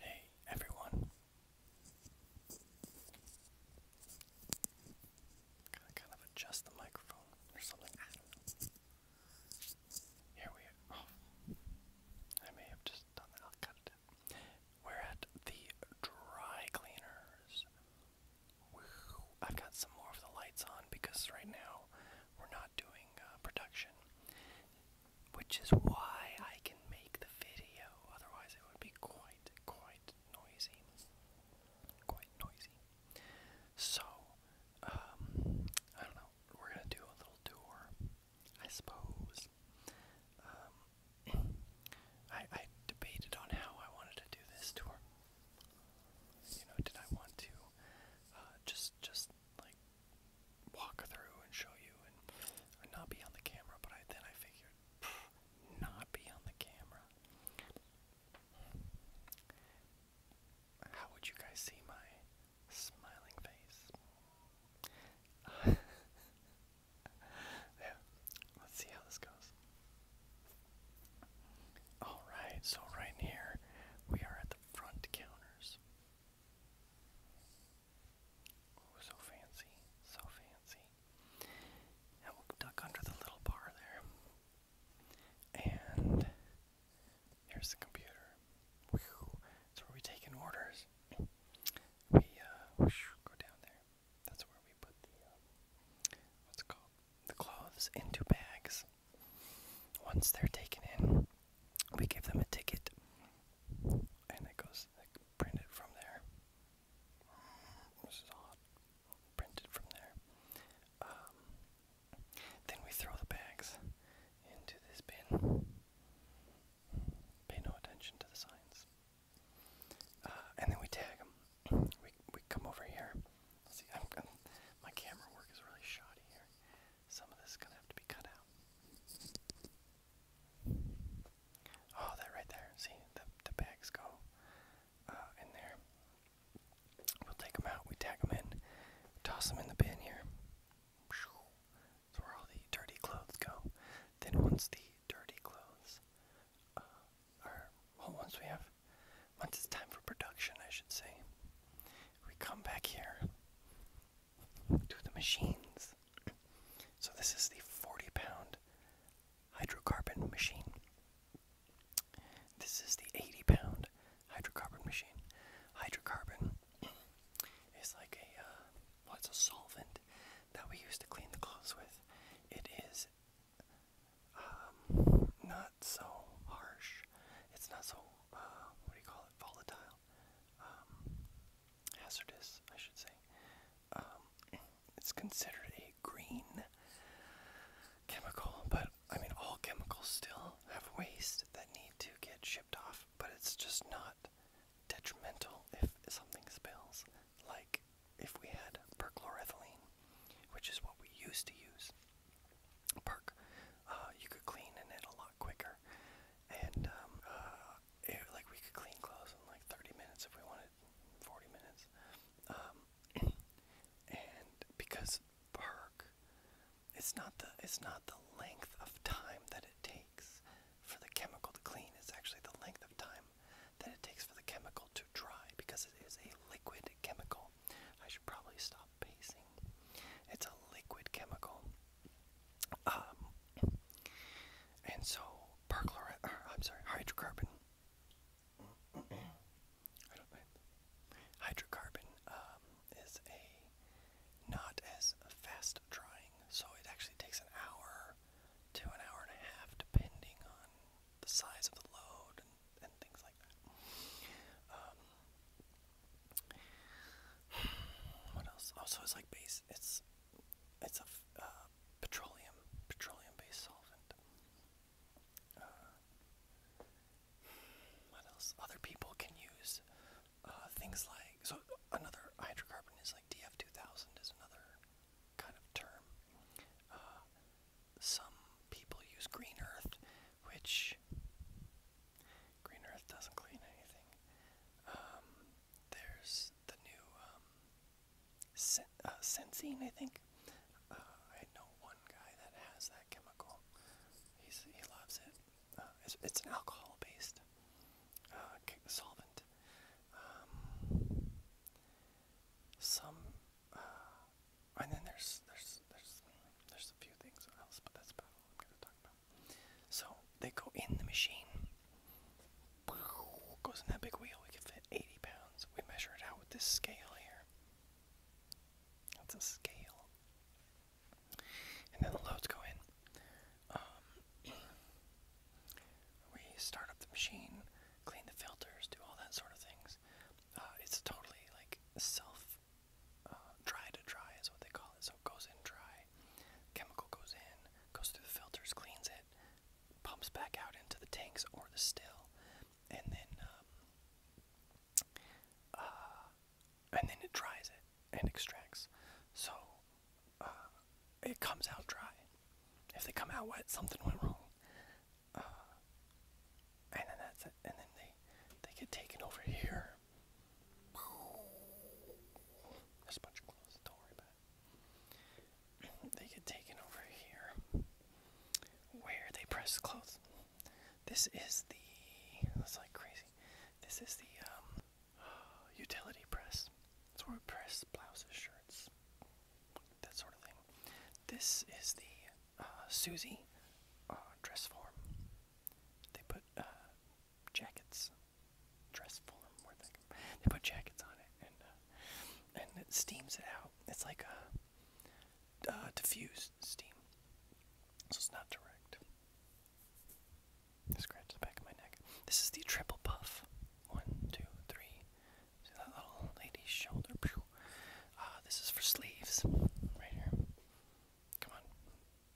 Hey everyone. Gotta kind of adjust the microphone or something. Here we are. Oh. I may have just done that. We're at the dry cleaners. I've got some more of the lights on because right now we're not doing uh, production, which is why I can make the video. Otherwise, it would be quite, quite noisy. Quite noisy. So, um, I don't know. We're gonna do a little tour, I suppose. Um, I I debated on how I wanted to do this tour. You know, did I want to uh, just just like walk through and show you and not be on the camera, but I, then I figured, not be on the camera. How would you guys see my smiling face? yeah, let's see how this goes. Alright, so right here we are at the front counters. Oh, so fancy, so fancy. And we'll duck under the little bar there. And here's the computer. That's where we take in orders. We uh, go down there. That's where we put the uh, what's it called the clothes into bags. Once they're taken in, we give them a ticket, and it goes printed from there. This is odd. Printed from there. Um, then we throw the bags into this bin. Pay no attention to the signs. Uh, and then we tag them. We, we come over here. see, my camera work is really shoddy here. Some of this is gonna have to be cut out. Oh, that right there. See, the, the bags go uh, in there. We'll take them out, we tag them in, toss them in the bin here. That's where all the dirty clothes go. Then once the dirty clothes uh, are, well, once we have once it's time for production, I should say, we come back here to the machines. So, this is the 40 pound hydrocarbon machine. This is the 80 pound hydrocarbon machine. Hydrocarbon is like a, uh, well, it's a solvent that we use to clean the clothes with. It is um, not so harsh, it's not so uh, what do you call it? Volatile, um, hazardous, I should say. Um, it's considered a green chemical, but I mean, all chemicals still have waste that need to get shipped off, but it's just not detrimental if something spills. Like if we had perchloroethylene, which is what we used to use perk, uh, you could clean in it a lot quicker, and um, uh, like we could clean clothes in like 30 minutes if we wanted, 40 minutes, um, and because perk, it's not the it's not the length of time that it takes for the chemical to clean. It's actually the length of time that it takes for the chemical to dry because it is a liquid chemical. I should probably stop pacing. It's a liquid chemical. Um, and so perchlorate, er, I'm sorry, hydrocarbon. Hydrocarbon um, is a not as fast drying, so it actually takes an hour to an hour and a half, depending on the size of the load and, things like that. Um, what else? Also, oh, it's like base. It's it's a uh, petroleum petroleum-based solvent. Uh, what else? Other people can use uh, things like so. Another hydrocarbon is like DF2000 is another kind of term. some people use green earth which Green Earth doesn't clean anything. Um, there's the new um, sen uh, I think. Uh, I know one guy that has that chemical. He's, he loves it. Uh, it's, it's an alcohol-based uh, solvent. Um, some and then there's there's there's there's a few things else, but that's about all I'm gonna talk about. So they go in the machine. Goes in that big wheel. We can fit 80 pounds. We measure it out with this scale here. That's a scale. And then the loads go in. Um, we start up the machine, clean the filters, do all that sort of things. Uh, it's totally like self uh, dry to dry is what they call it. So it goes in dry, chemical goes in, goes through the filters, cleans it, pumps back out into the tanks or the still, and then um, uh, and then it dries it and extracts. So uh, it comes out dry. If they come out wet, something went wrong uh, and then that's it. And then they they get taken over here. There's a bunch of clothes. Don't worry about They get taken over here, where they press clothes. This is the that's like crazy. This is the um, utility press. It's where we press blouses, shirts, that sort of thing. This is the uh, Susie uh, dress form. They put uh, jackets, dress form. they put jackets on it and uh, and it steams it out. It's like a uh, diffused steam, so it's not direct. Scratch the back of my neck. This is the triple puff. One, two, three, See that little lady's shoulder? Ah, this is for sleeves, right here. Come on.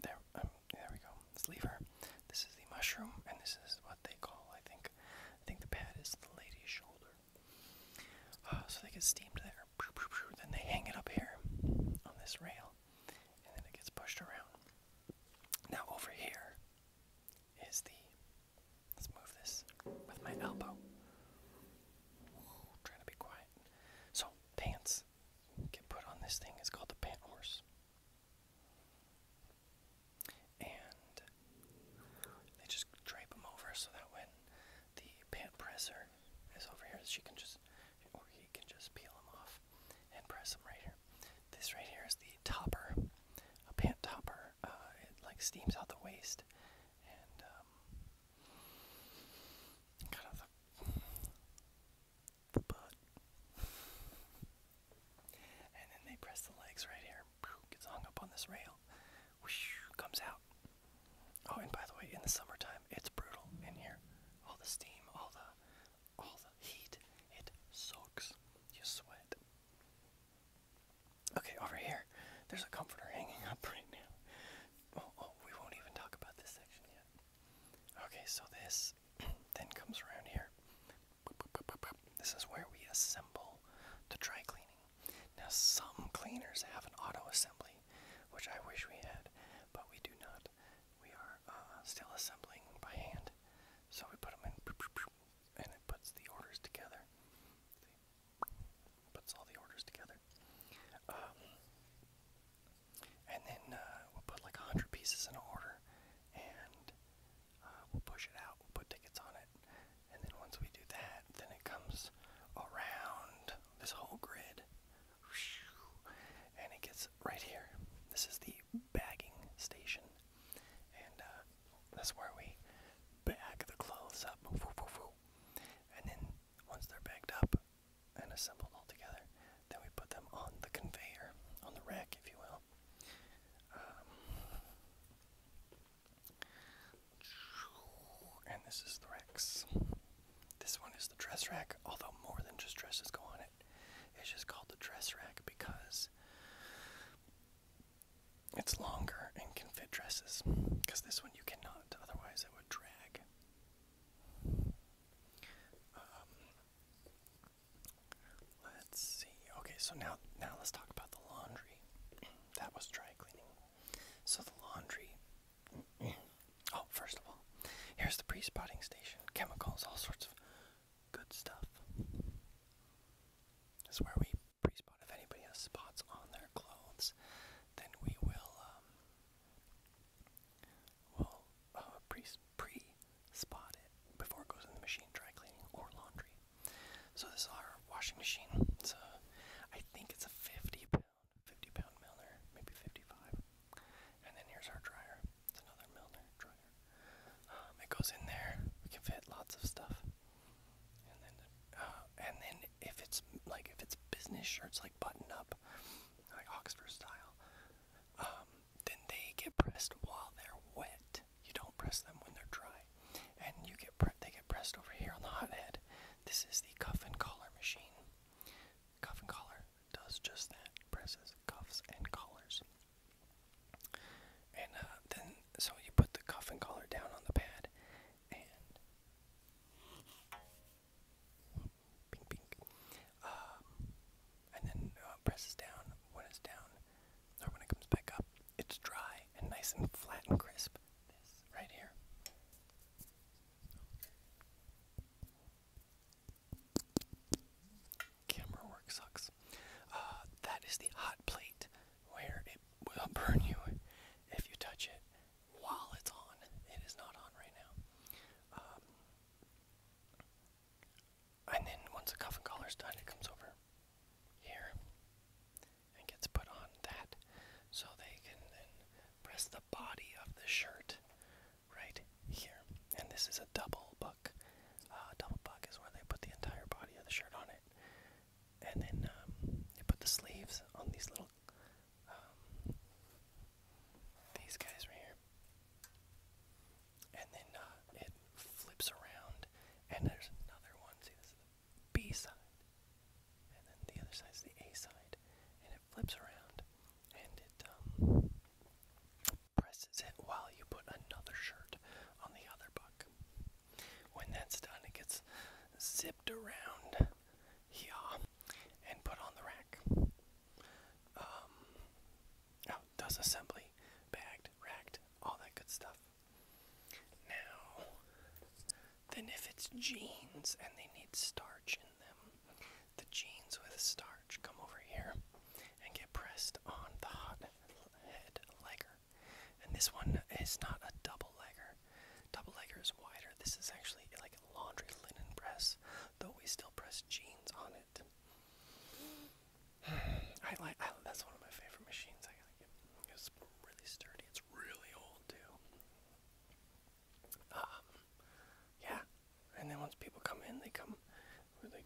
There, um, there we go. Sleeve This is the mushroom, and this is what they call, I think, I think the pad is the lady's shoulder. Ah, so they get steamed there. Then they hang it up here on this rail, and then it gets pushed around. Now over here is the Let's move this with my elbow. trying to be quiet. So, pants get put on this thing. It's called the pant horse. And they just drape them over so that when the pant presser is over here, she can just, or he can just peel them off and press them right here. This right here is the topper, a pant topper. Uh, it like steams out the waist and um, kind of the, the butt. And then they press the legs right here, gets hung up on this rail, whoosh, comes out. Oh, and by the way, in the summertime, it's brutal in here. All the steam, all the all the heat, it soaks. You sweat. Okay, over here. There's a comforter hanging up right now. Oh, oh, we won't even talk about this section yet. Okay, so this then comes around here. This is where we assemble the dry cleaning. Now, some cleaners have an auto assembly, which I wish we had, but we do not. We are uh, still assembling by hand. So we put them in, and it puts the orders together puts all the orders together. Um, and then uh, we'll put like a 100 pieces in an order and uh, we'll push it out, we'll put tickets on it. And then once we do that, then it comes around this whole grid and it gets right here. This is the bagging station. And uh, that's where we bag the clothes up. And then once they're bagged up and assembled all together, then we put them on the conveyor, on the rack, if you will. Um, and this is the racks. This one is the dress rack, although more than just dresses go on it. It's just called the dress rack because it's longer and can fit dresses because this one you cannot, otherwise, it would drag. Um, let's see. Okay, so now now let's talk about the laundry. That was dry cleaning. So the laundry. Oh, first of all, here's the pre-spotting station. Chemicals, all sorts of good stuff. This is where we pre-spot. If anybody has spots on their clothes, then we will um, uh, pre spot it before it goes in the machine, dry cleaning or laundry. So this is our washing machine. It's a, I think it's a 50 pound, 50 pound Milner, maybe 55. And then here's our dryer. It's another Milner dryer. Um, it goes in there. We can fit lots of stuff. And then, uh, and then if it's like if it's business shirts like button up, like Oxford style, um, then they get pressed while they're wet. You don't press them when they're dry, and you get pre they get pressed over here on the hot head. This is the cuff and collar machine. Cuff and collar does just that. Presses cuffs and collars. And uh, then, so you put the cuff and collar down on the pad, and pink, pink, um, and then uh, presses down. When it's down, or when it comes back up, it's dry and nice and flat and crisp. This right here camera work sucks. Uh, that is the hot plate where it will burn you if you touch it while it's on. It is not on right now. Um, and then once the cuff and collar's done, it comes over here and gets put on that so they can then press the body of the shirt right here. And this is a double buck. Uh, double buck is where they put the entire body of the shirt on and then um, you put the sleeves on these little, um, these guys right here. And then uh, it flips around, and there's another one. See, this is the B side, and then the other side is the A side, and it flips around, and it um, presses it while you put another shirt on the other buck. When that's done, it gets zipped around here and put on the rack. Um, oh, assembly, bagged, racked, all that good stuff. Now, then if it's jeans and they need starch in them, the jeans with starch come over here and get pressed on the hot head legger. And this one is not a double legger. Double legger is wider. This is actually like a laundry linen press, though we still press jeans on it. I like that's one of my favorite machines. I like it. It's really sturdy. It's really old too. Um, yeah. And then once people come in, they come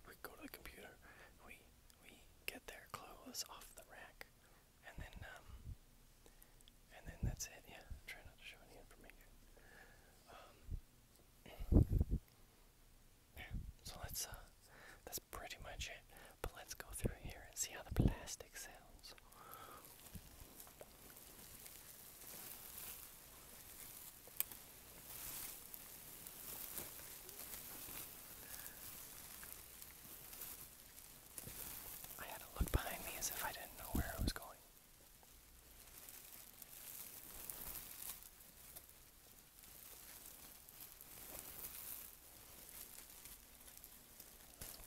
we go to the computer, we we get their clothes off the rack, and then um, and then that's it. Yeah, try not to show any information. Um, so let's uh, that's pretty much it. But let's go through here and see how the plastic sounds. I had to look behind me as if I didn't know where I was going.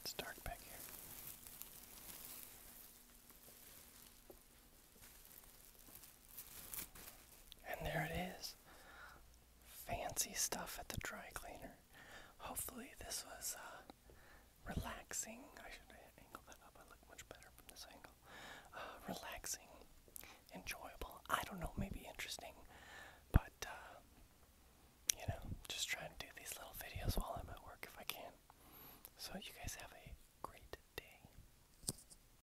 It's dark back here. And there it is. Fancy stuff at the dry cleaner. Hopefully, this was uh, relaxing. I should angle that up. I look much better from this angle. Uh, relaxing, enjoyable. I don't know, maybe interesting. But, uh, you know, just trying to do these little videos while I'm at work if I can. So, you guys have a great day.